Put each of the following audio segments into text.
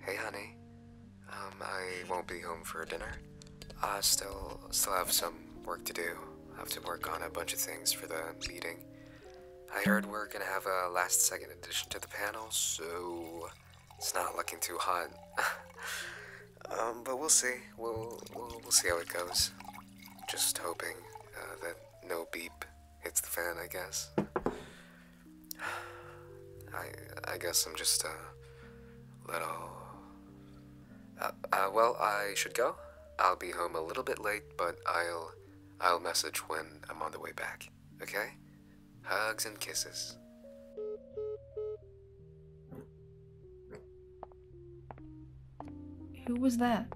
Hey, honey. Um, I won't be home for dinner. I still still have some work to do. I have to work on a bunch of things for the meeting. I heard we're gonna have a last second addition to the panel, so it's not looking too hot. um, but we'll see. We'll, we'll, see how it goes. Just hoping uh, that no beep hits the fan, I guess. I, I guess I'm just a little. Uh, uh, well, I should go. I'll be home a little bit late, but I'll I'll message when I'm on the way back. Okay? Hugs and kisses. Who was that?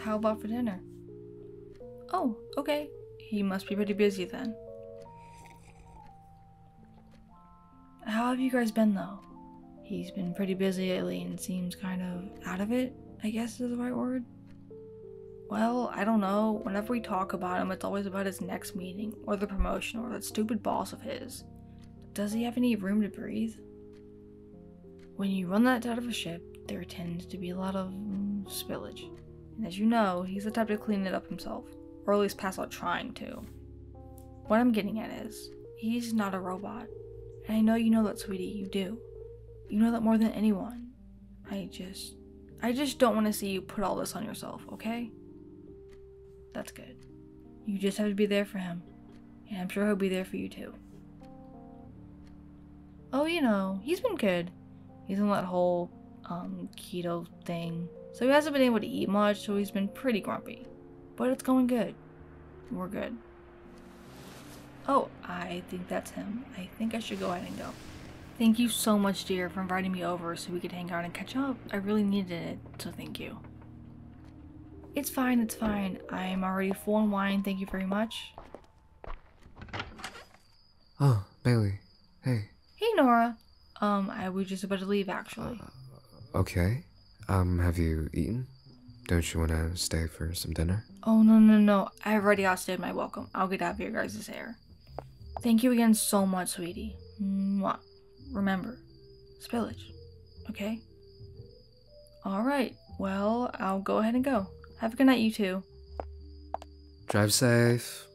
How about for dinner? Oh, okay. He must be pretty busy then. How have you guys been though? He's been pretty busy lately and seems kind of out of it, I guess is the right word. Well, I don't know. Whenever we talk about him, it's always about his next meeting, or the promotion, or that stupid boss of his. Does he have any room to breathe? When you run that out of a ship, there tends to be a lot of spillage. And as you know, he's the type to clean it up himself, or at least pass out trying to. What I'm getting at is, he's not a robot. And I know you know that, sweetie, you do. You know that more than anyone. I just. I just don't want to see you put all this on yourself, okay? That's good. You just have to be there for him. Yeah, I'm sure he'll be there for you too. Oh, you know, he's been good. He's on that whole um, keto thing. So he hasn't been able to eat much, so he's been pretty grumpy. But it's going good. We're good. Oh, I think that's him. I think I should go ahead and go. Thank you so much, dear, for inviting me over so we could hang out and catch up. I really needed it, so thank you. It's fine, it's fine. I'm already full on wine, thank you very much. Oh, Bailey. Hey. Hey, Nora. Um, I was just about to leave, actually. Uh, okay. Um, have you eaten? Don't you want to stay for some dinner? Oh, no, no, no. I already outstayed my welcome. I'll get out of your guys' hair. Thank you again so much, sweetie. Mwah. Remember, spillage. Okay? Alright, well, I'll go ahead and go. Have a good night, you two. Drive safe.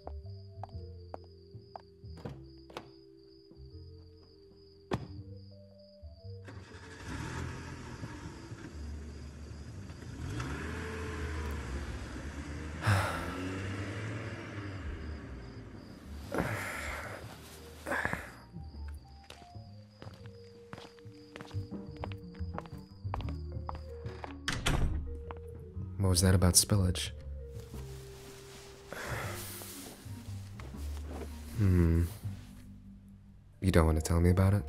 What was that about spillage? Hmm. You don't want to tell me about it?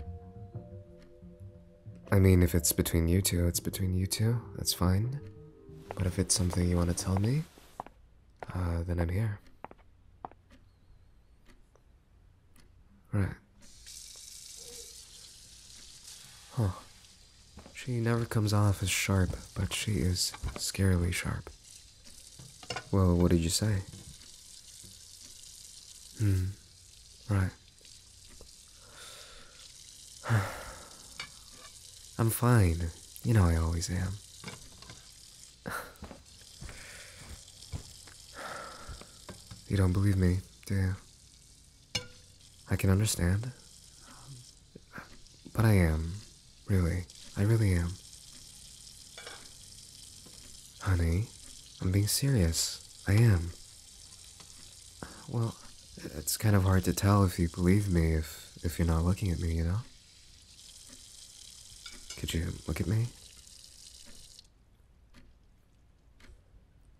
I mean, if it's between you two, it's between you two. That's fine. But if it's something you want to tell me, uh, then I'm here. Right. Huh. She never comes off as sharp, but she is scarily sharp. Well, what did you say? Hmm. Right. I'm fine. You know I always am. You don't believe me, do you? I can understand. But I am. Really. I really am. Honey, I'm being serious. I am. Well, it's kind of hard to tell if you believe me if if you're not looking at me, you know? Could you look at me?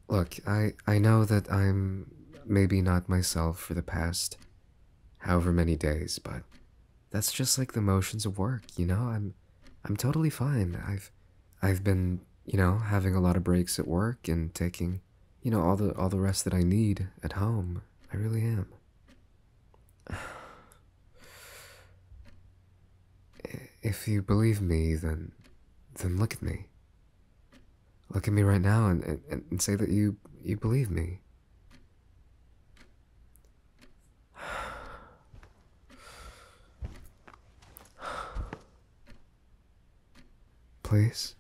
Look, I, I know that I'm maybe not myself for the past however many days, but that's just like the motions of work, you know? I'm I'm totally fine. I've I've been, you know, having a lot of breaks at work and taking, you know, all the all the rest that I need at home. I really am. If you believe me, then then look at me. Look at me right now and, and, and say that you you believe me. Please?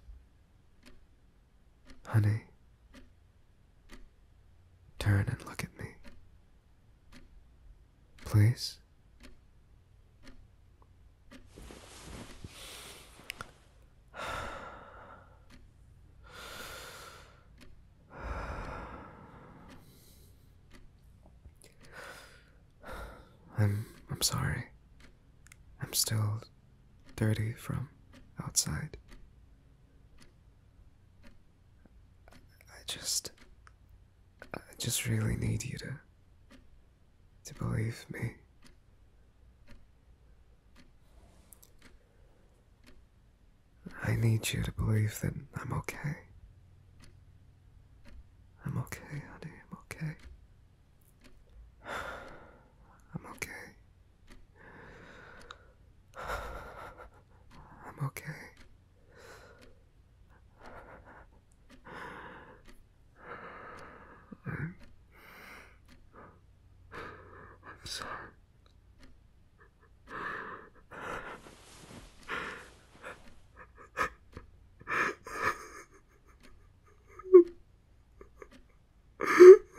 Honey. Turn and look at me. Please. I'm I'm sorry. I'm still dirty from outside. I just. I just really need you to. to believe me. I need you to believe that I'm okay. I'm okay, honey, I'm okay. I'm okay. I'm okay. I'm, sorry.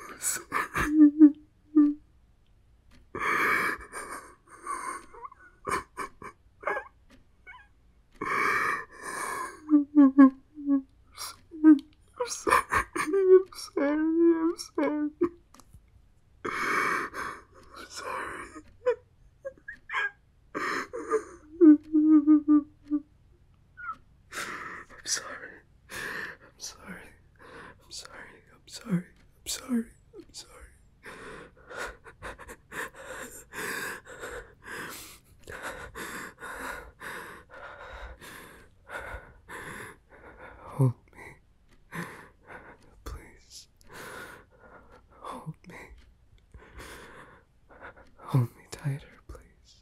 I'm sorry. I'm sorry. I'm sorry. I'm sorry. I'm sorry. I'm I'm sorry. sorry. I'm sorry. I'm sorry. Hold me. Please. Hold me. Hold me tighter, please.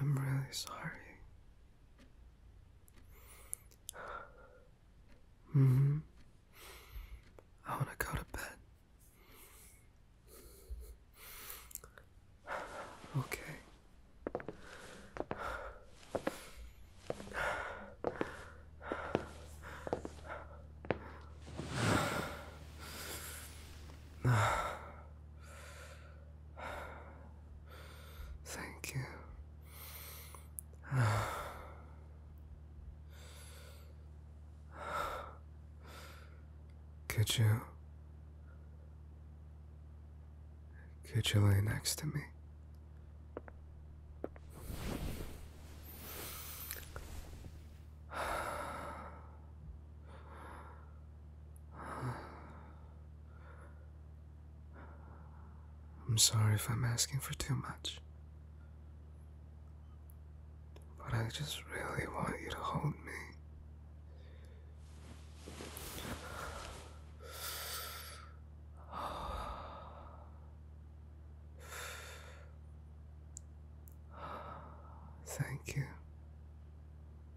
I'm really sorry. hmm. I want to go to bed. Okay. Thank you. Could you? Could you lay next to me? I'm sorry if I'm asking for too much. But I just really want you to hold me. Thank you.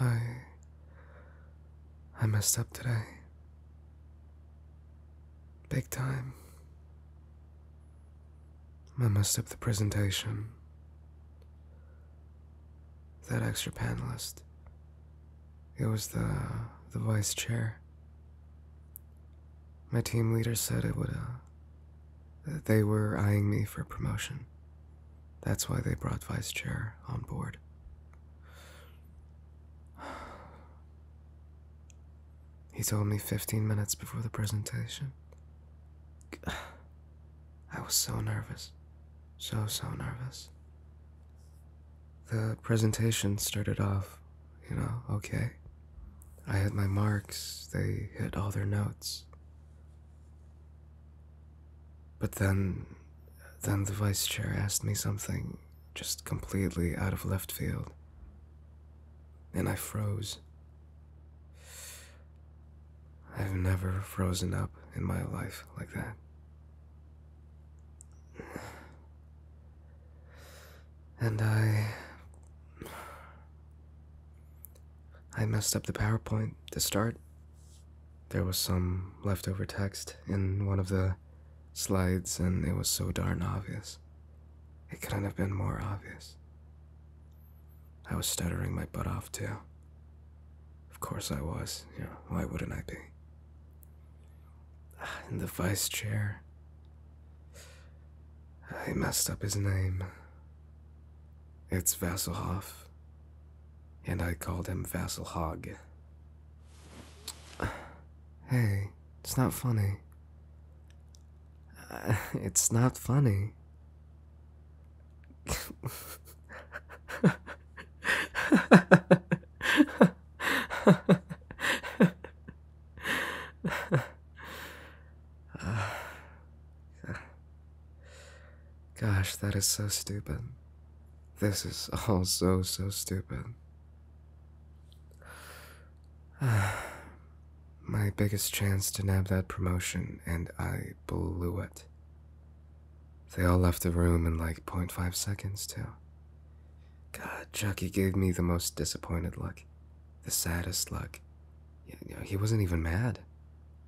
I. I messed up today. Big time. I messed up the presentation. That extra panelist. It was the the vice chair. My team leader said it would, uh, they were eyeing me for promotion. That's why they brought Vice Chair on board. He told me 15 minutes before the presentation. I was so nervous. So, so nervous. The presentation started off, you know, okay. I had my marks, they hit all their notes. But then, then the vice chair asked me something just completely out of left field. And I froze. I've never frozen up in my life like that. And I. I messed up the PowerPoint to start. There was some leftover text in one of the slides, and it was so darn obvious. It couldn't have been more obvious. I was stuttering my butt off, too. Of course I was, you know, why wouldn't I be? In the vice chair. I messed up his name. It's Vasselhoff, and I called him Vassilhog. Hey, it's not funny. it's not funny. gosh, that is so stupid. This is all so, so stupid. My biggest chance to nab that promotion, and I blew it. They all left the room in like 0.5 seconds, too. God, Chucky gave me the most disappointed look. The saddest look. You know, he wasn't even mad.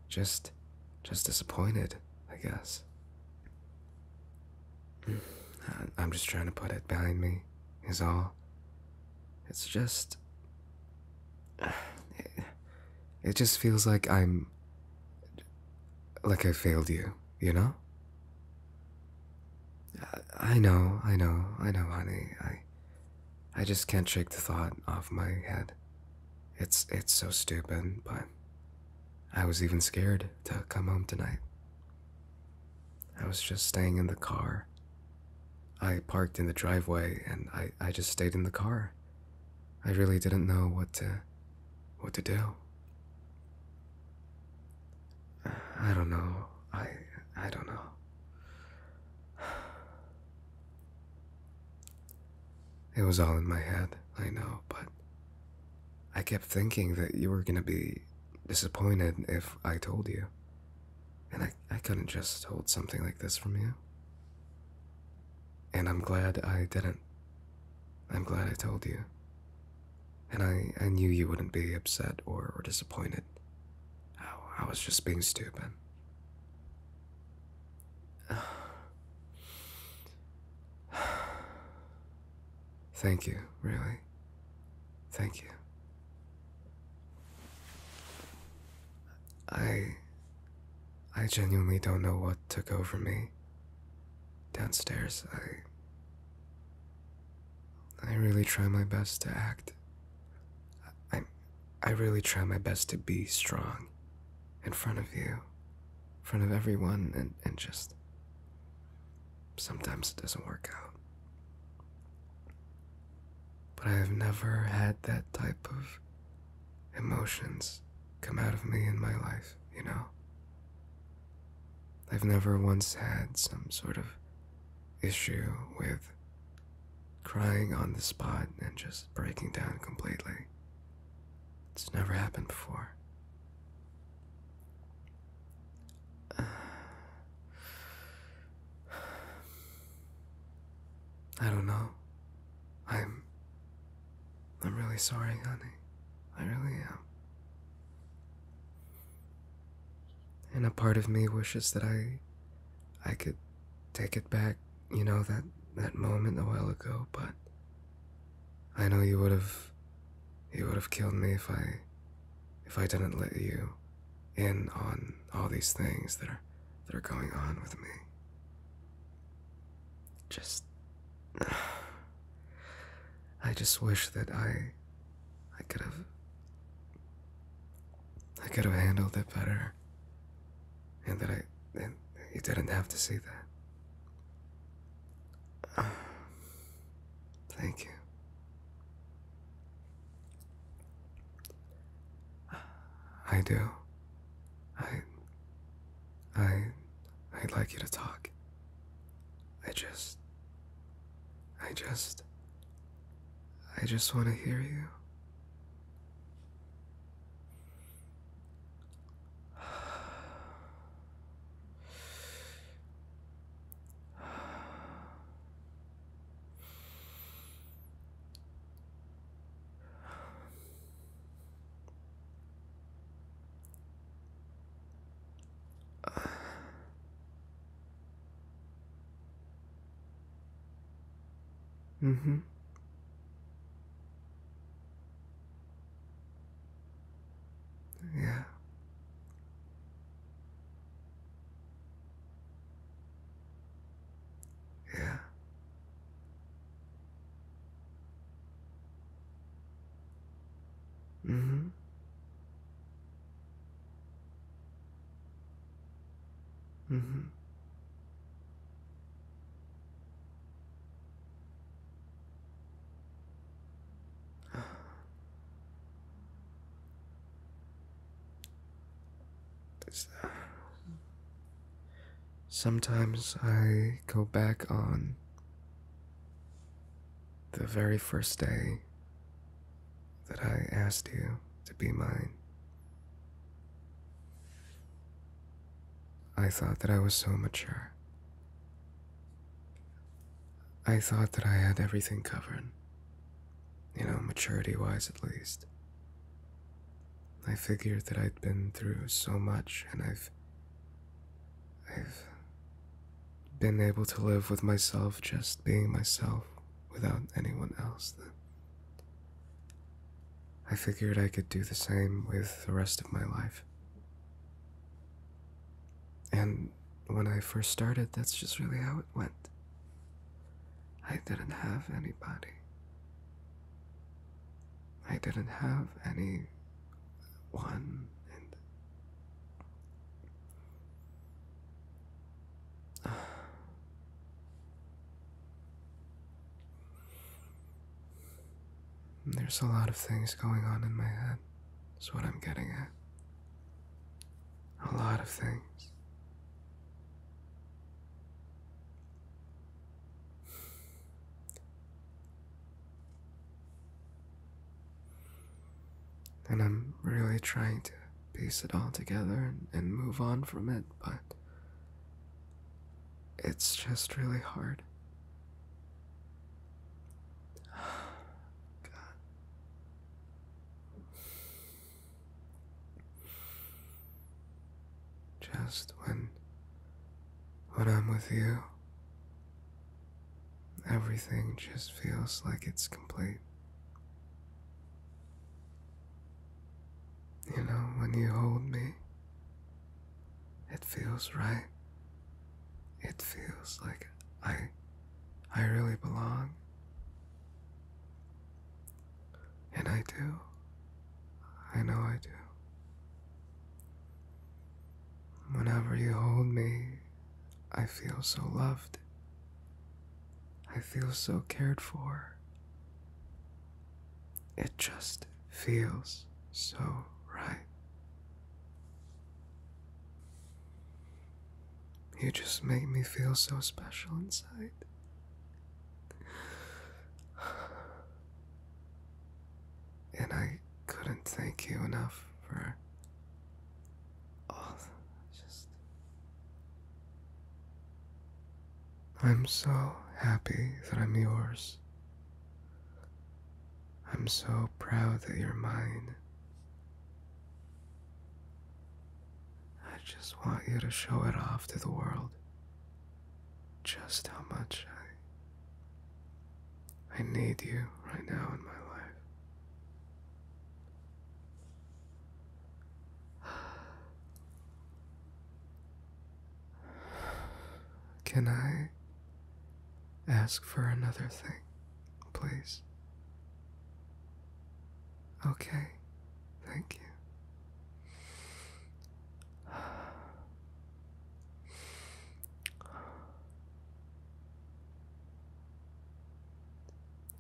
Just, just disappointed, I guess. Hmm. I'm just trying to put it behind me, is all. It's just. It, it just feels like I'm. Like I failed you you know? I know, I know, I know, honey. I I just can't shake the thought off my head. It's it's so stupid, but I was even scared to come home tonight. I was just staying in the car. I parked in the driveway and I, I just stayed in the car. I really didn't know what to what to do. I don't know. I I don't know. It was all in my head, I know, but I kept thinking that you were gonna be disappointed if I told you. And I, I couldn't just hold something like this from you. And I'm glad I didn't. I'm glad I told you and I, I knew you wouldn't be upset or, or disappointed. I, was just being stupid. Thank you, really. Thank you. I. I genuinely don't know what took over me. Downstairs, I. I really try my best to act. I, I really try my best to be strong in front of you, in front of everyone, and, and just. Sometimes it doesn't work out. But I have never had that type of emotions come out of me in my life, you know? I've never once had some sort of issue with crying on the spot and just breaking down completely. It's never happened before. I don't know. I'm. I'm really sorry, honey. I really am. And a part of me wishes that I I could take it back, you know, that that moment a while ago, but I know you would have you would have killed me if I if I didn't let you in on all these things that are that are going on with me. Just I just wish that I I could have I could have handled it better. And that I and didn't have to see that. thank you. I do. I I I'd like you to talk. I just. I just. I just want to hear you. Mm-hmm. Yeah. Yeah. Mm-hmm. Mm-hmm. Sometimes I go back on the very first day that I asked you to be mine. I thought that I was so mature. I thought that I had everything covered. You know, maturity wise at least. I figured that I'd been through so much and I've I've been able to live with myself just being myself without anyone else. I figured I could do the same with the rest of my life. And when I first started, that's just really how it went. I didn't have anybody. I didn't have any one and There's a lot of things going on in my head. That's what I'm getting at. A lot of things. And I'm really trying to piece it all together and, and move on from it, but it's just really hard. God. Just when when I'm with you, Everything just feels like it's complete. You know, when you hold me, it feels right. It feels like I I really belong. And I do. I know I do. Whenever you hold me, I feel so loved. I feel so cared for. It just feels so right. You just make me feel so special inside. And I couldn't thank you enough for all just. I'm so happy that I'm yours. I'm so proud that you're mine. I just want you to show it off to the world. Just how much I I need you right now in my life. Can I ask for another thing, please? Okay, thank you.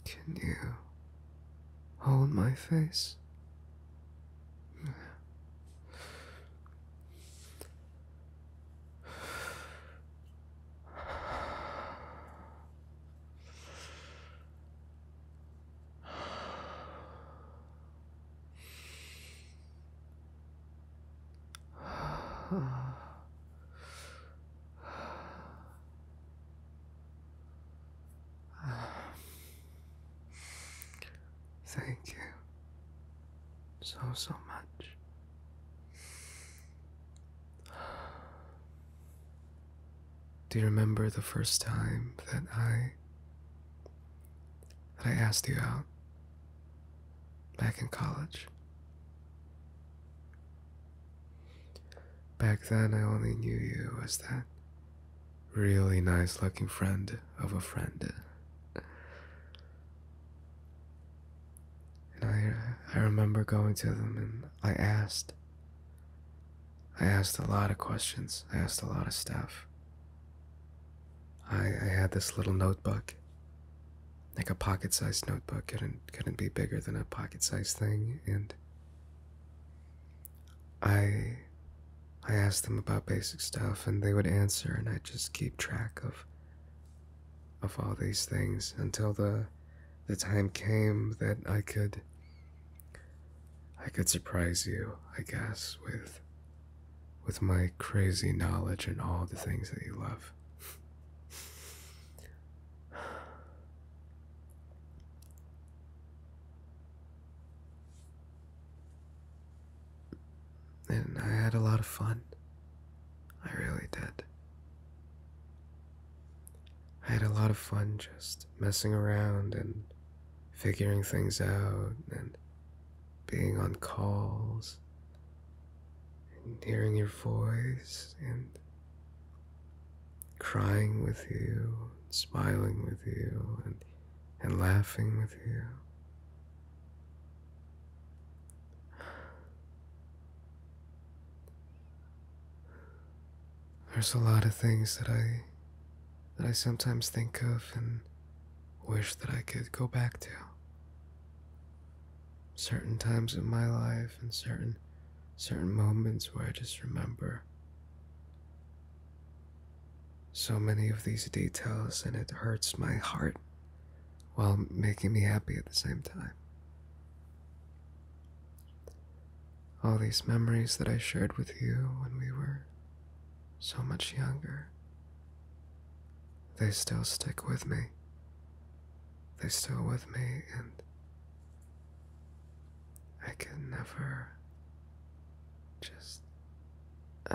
Can you hold my face? Thank you so, so much. Do you remember the first time that I that I asked you out? back in college. Back then, I only knew you as that really nice looking friend of a friend. And I, I remember going to them and I asked. I asked a lot of questions, I asked a lot of stuff. I, had this little notebook, like a pocket-sized notebook. couldn't couldn't be bigger than a pocket-sized thing. And I I asked them about basic stuff, and they would answer, and I just keep track of of all these things until the the time came that I could I could surprise you, I guess, with with my crazy knowledge and all the things that you love. And I had a lot of fun. I really did. I had a lot of fun just messing around and figuring things out and being on calls and hearing your voice and crying with you, and smiling with you, and, and laughing with you. There's a lot of things that I that I sometimes think of and wish that I could go back to. Certain times in my life and certain certain moments where I just remember so many of these details and it hurts my heart while making me happy at the same time. All these memories that I shared with you when we were so much younger. They still stick with me. They still with me, and I can never just.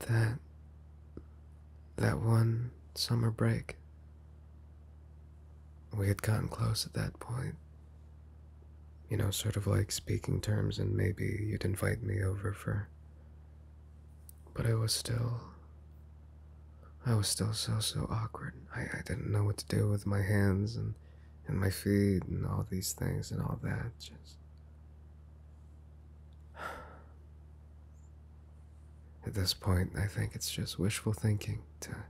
that that one summer break we had gotten close at that point you know, sort of like speaking terms, and maybe you'd invite me over for. But I was still. I was still so, so awkward. I, I didn't know what to do with my hands and, and my feet and all these things and all that. Just. At this point, I think it's just wishful thinking to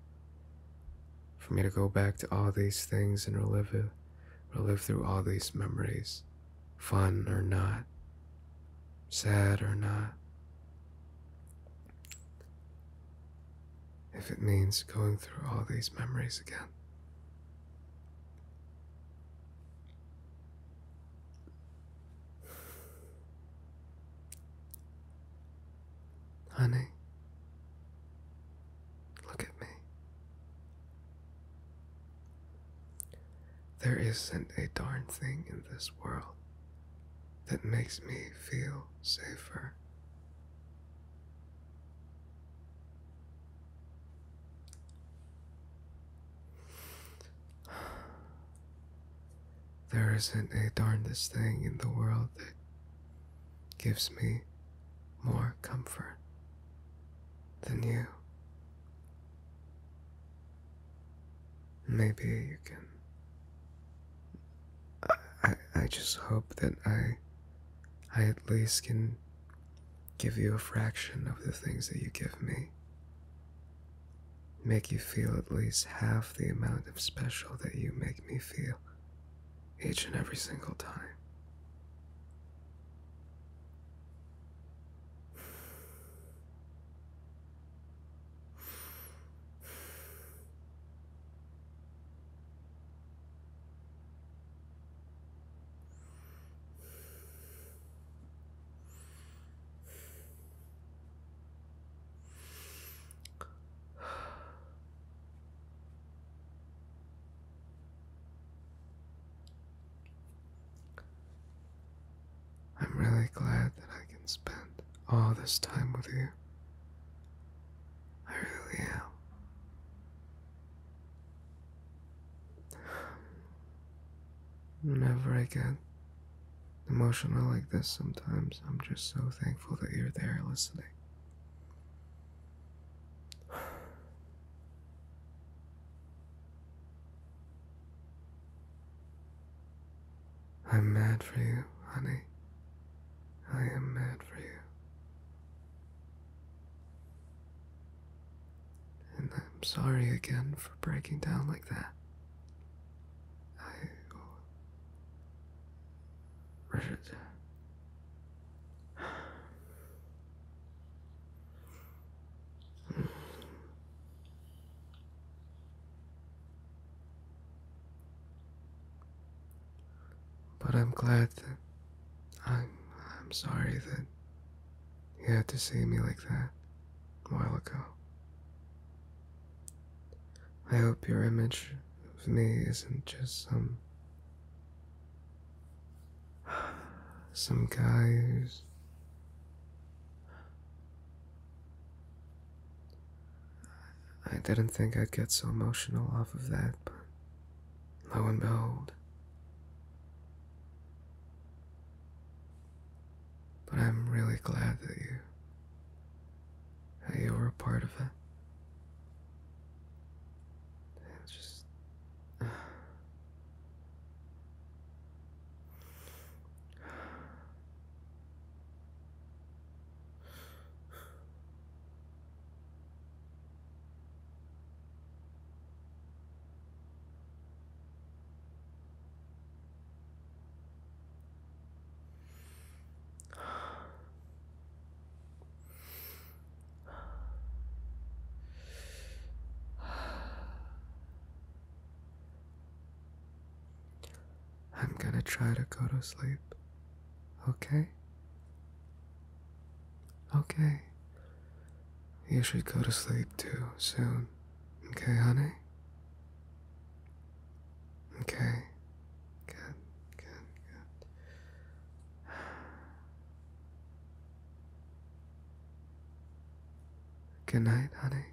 for me to go back to all these things and relive it, relive through all these memories, fun or not, sad or not. If it means going through all these memories again. Honey, look at me. There isn't a darn thing in this world that makes me feel safer. There isn't a darnest thing in the world that gives me more comfort than you. Maybe you can. I, I, just hope that I, I at least can give you a fraction of the things that you give me. Make you feel at least half the amount of special that you make me feel each and every single time. I'm really glad that I can spend all this time with you. I really am. Whenever I get emotional like this sometimes, I'm just so thankful that you're there listening. I'm mad for you, honey. I am mad for you. And I'm sorry again for breaking down like that. I But I'm glad that I'm I'm sorry that you had to see me like that a while ago. I hope your image of me isn't just some. some guy who's. I didn't think I'd get so emotional off of that, but lo and behold. But I'm really glad that you you were a part of it. just. I'm gonna try to go to sleep. Okay? Okay. You should go to sleep too soon. Okay, honey? Okay. Good, good, good. Good night, honey.